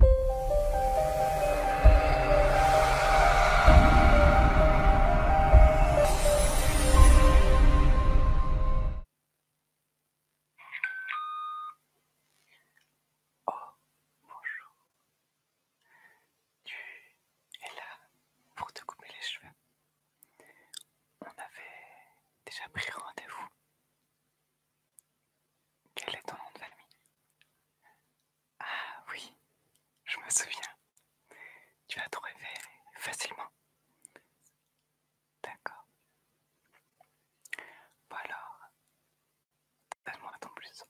Oh, bonjour. Tu es là pour te couper les cheveux. On avait déjà pris rendez-vous. Quel est ton nom de famille Ah oui, je me souviens. Tu as trouvé facilement. D'accord. Bon alors, donne-moi ton plus.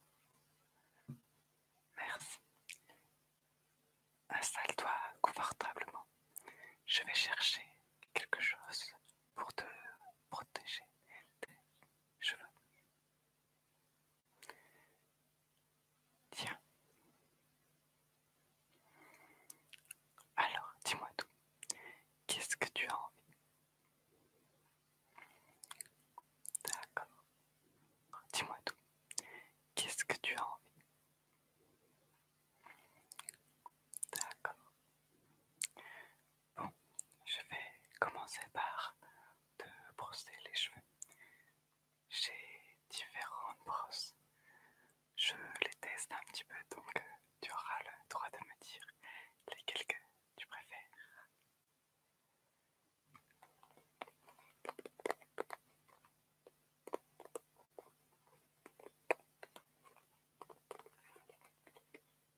Merci. Installe-toi confortablement. Je vais chercher quelque chose pour te protéger tes cheveux. Tiens. Alors, dis-moi tout. Qu'est-ce que tu as envie D'accord. Dis-moi tout. Qu'est-ce que tu as envie D'accord. Bon, je vais commencer par te brosser les cheveux. J'ai différentes brosses. Je les teste un petit peu, donc euh, tu auras le droit de me dire lesquelles tu préfères.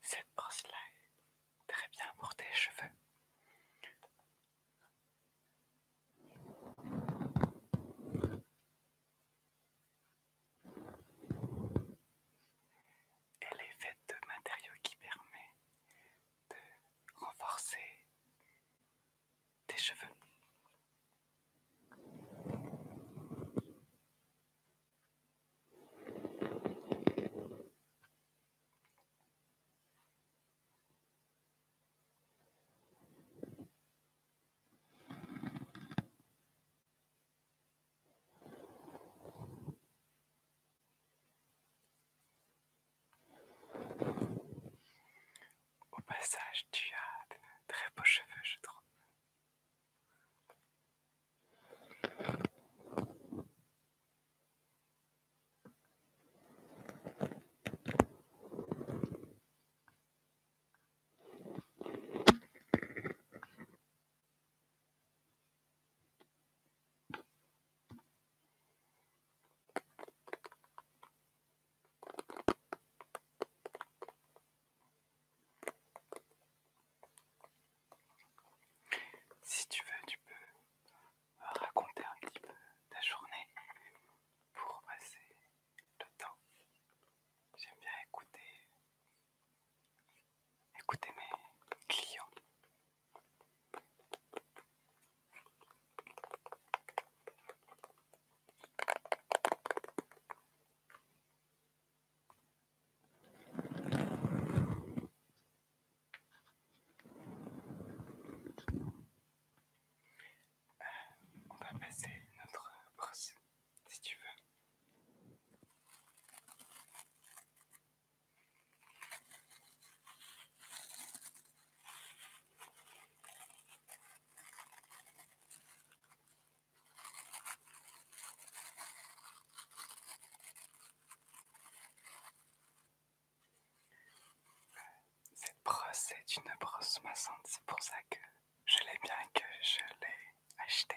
Cette brosse-là est très bien pour tes cheveux. Elle est faite de matériaux qui permettent de renforcer tes cheveux. Au passage, tu as de très beaux cheveux, je trouve. Si tu veux, tu peux euh, raconter un petit peu ta journée pour passer le temps. J'aime bien écouter, écouter mes clients on va passer notre brosse si tu veux. Cette brosse est une brosse maçante, c'est pour ça que je l'ai bien que je l'ai acheté.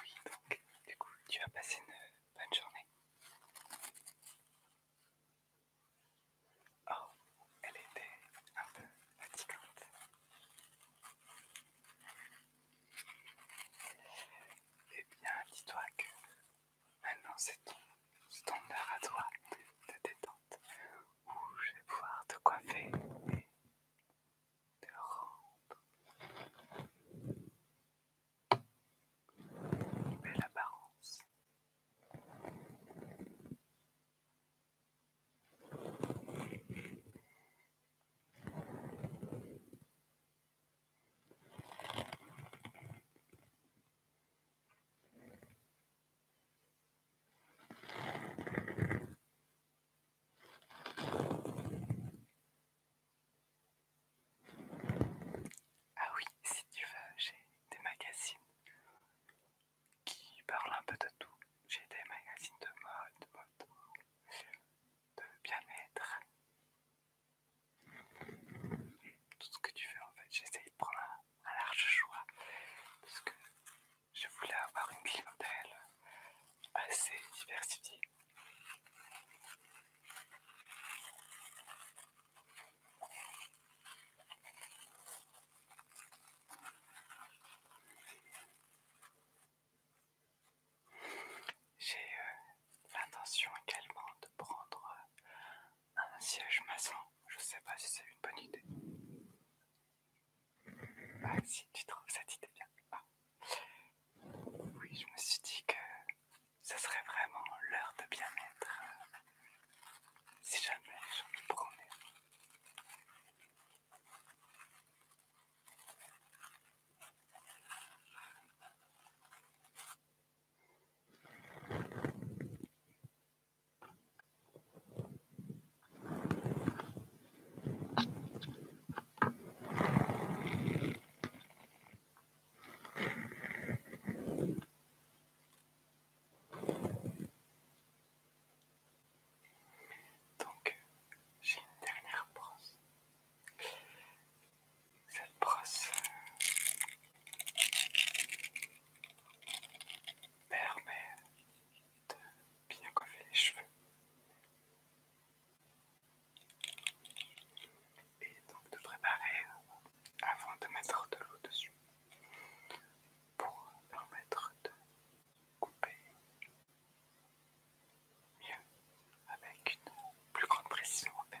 Oui, donc, du coup, tu as passé une bonne journée. Oh, elle était un peu fatigante. Eh bien, dis-toi que maintenant c'est ton heure à toi de détente je vais pouvoir te coiffer et te rendre une belle apparence. Ah oui, si tu veux, j'ai des magazines qui parlent un peu de tout. J'ai des magazines de mode, de, de bien-être. Tout ce que tu veux en fait, j'essaye de prendre un, large choix je voulais avoir une clientèle assez diversifiée. J'ai euh, l'intention également de prendre un siège maçon. Je sais pas si c'est une bonne idée. Bah, si tu trouves cette idée bien. Ah. Oui, je me suis dit que ce serait vraiment l'heure de bien-être. Euh, si jamais je promets. Donc, j'ai une dernière brosse. Cette brosse, euh, permet de bien coiffer les cheveux. Et donc de préparer avant de mettre de l'eau dessus pour permettre de couper mieux avec une plus grande précision en fait.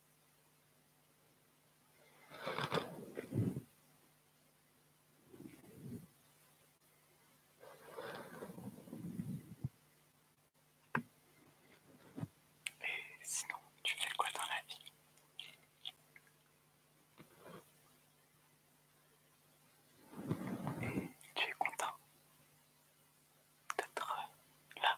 Et sinon, tu fais quoi dans la vie et tu es content d'être là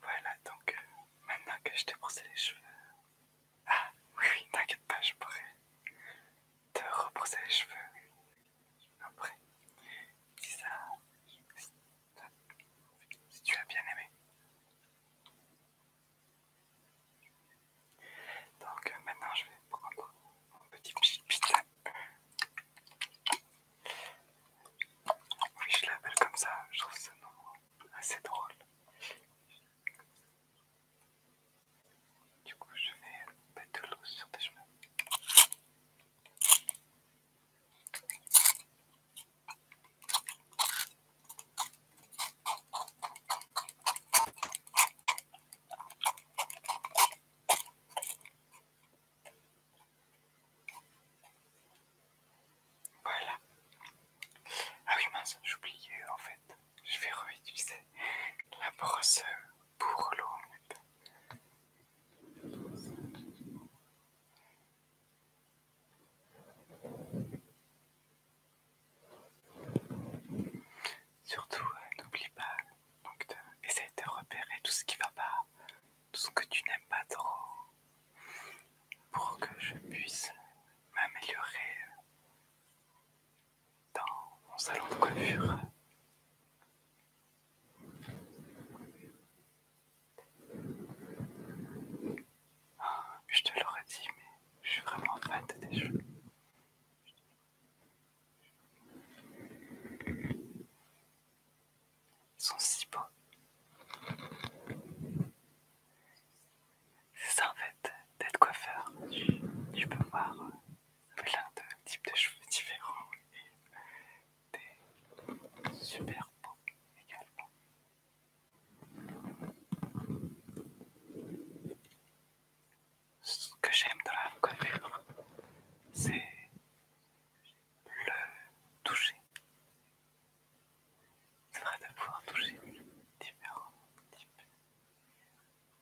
Voilà, donc maintenant que je t'ai brossé les cheveux. Ah oui, t'inquiète pas, je pourrais te rebrosser les cheveux après. Si ça, si tu as bien aimé. Donc maintenant je vais prendre mon petit pizza. Oui, je l'appelle comme ça, je trouve ce nom assez drôle. Du coup, je vais mettre de l'eau sur tes chemins. Voilà. Ah oui, mince, j'oubliais en fait. Je vais réutiliser la brosse pour l'eau Surtout, euh, n'oublie pas, donc de, de repérer tout ce qui va pas, tout ce que tu n'aimes pas trop, pour que je puisse m'améliorer euh, dans mon salon de coiffure. Oh, je te l'aurais dit, mais je suis vraiment fan de tes cheveux. Ils sont si beaux. C'est ça en fait, d'être coiffeur. Tu, tu peux voir euh, plein de types de cheveux différents et des super beaux également. Ce que j'aime de la connaître, c'est le toucher. C'est vrai de pouvoir toucher différents types.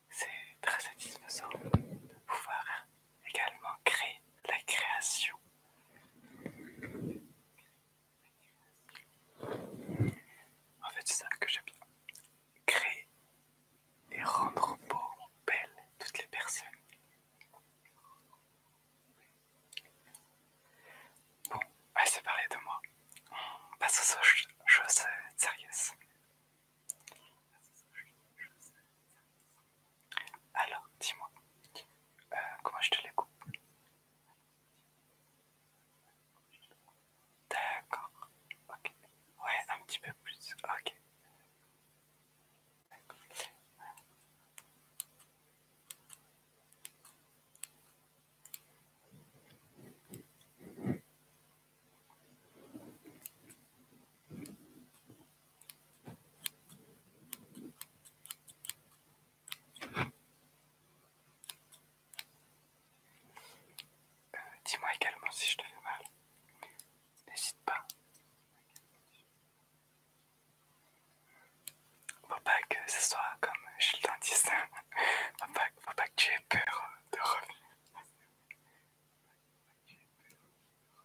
C'est très satisfaisant de pouvoir également créer la création. En fait, c'est ça que j'aime bien. Créer et rendre beau, belle toutes les personnes. Bon, assez parler de moi. On passe aux choses sérieuses. Alors, dis-moi, euh, comment je te les coupe D'accord, ok. Ouais, un petit peu plus, ok. Euh, dis-moi également si je te fais mal. N'hésite pas. Faut pas que ce soit comme chez le dentiste. Faut pas, faut pas que tu aies peur de revenir.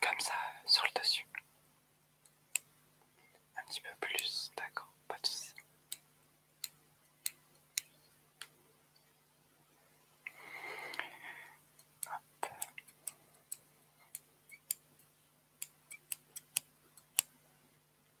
Comme ça, sur le dessus. Un petit peu plus, d'accord, pas de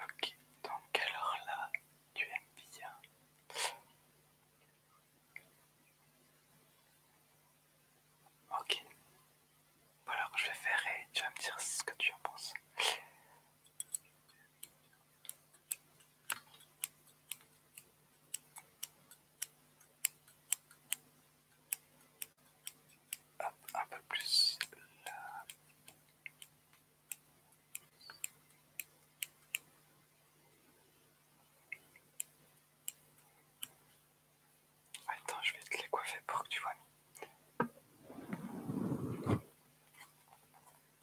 Ok, donc alors là, tu aimes bien. Ok. alors je vais faire et tu vas me dire ce que tu en penses un peu plus là. Attends, je vais te les coiffer pour que tu vois.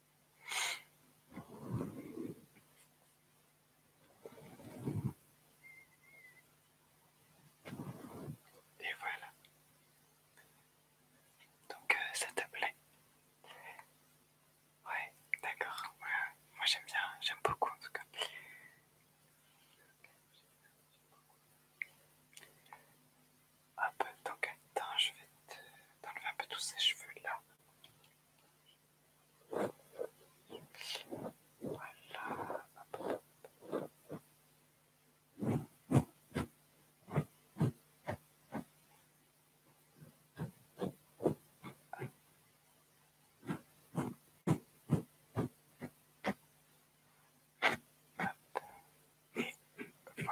Et voilà. Donc euh, ça te plaît Ouais, d'accord. Moi j'aime bien, j'aime beaucoup en tout cas peu dans quel temps je vais enlever un peu tous ces cheveux-là. Voilà. Voilà.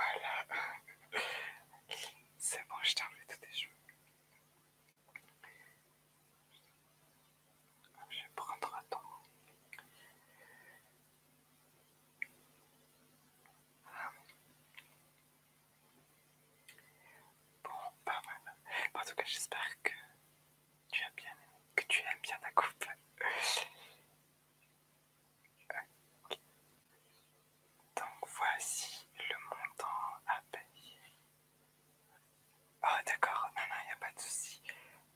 C'est bon, je t'ai enlevé tous tes cheveux. Je vais prendre ton. Ah. Bon, pas mal. en tout cas, j'espère que tu as bien, que tu aimes bien ta coupe. Donc voici le montant à payer. Oh d'accord, non, non, il a pas de souci.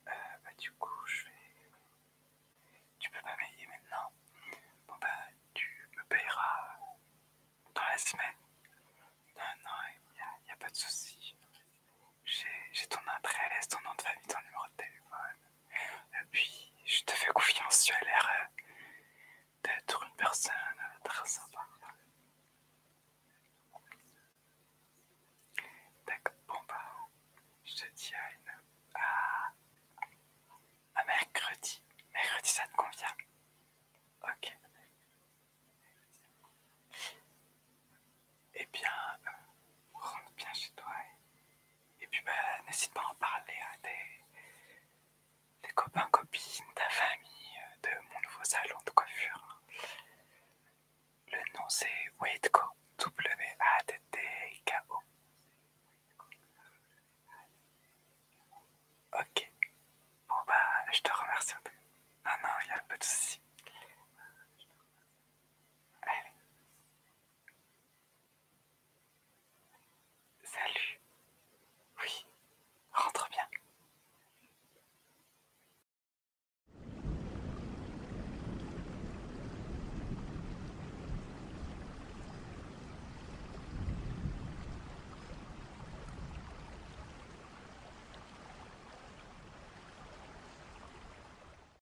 Euh, bah, du coup, je vais... Tu peux pas payer maintenant. Bon bah, tu me payeras dans la semaine. Non, non, il n'y a, pas de souci. J'ai ton adresse, ton nom de famille, ton numéro de téléphone. Et puis je te fais confiance, tu as l'air euh, d'être une personne très sympa. D'accord, bon bah, je te dis à, mercredi. Mercredi, ça te convient Ok. Eh bien, rentre bien chez toi et puis, bah, n'hésite pas à en parler à des copains, copines, ta famille, euh, de mon nouveau salon de coiffure. Le nom, c'est Waitco. W-A-T-T-K-O. Ok. Bon, bah, je te remercie ah non, il y a un peu de soucis. Allez. Salut. Oui, rentre bien.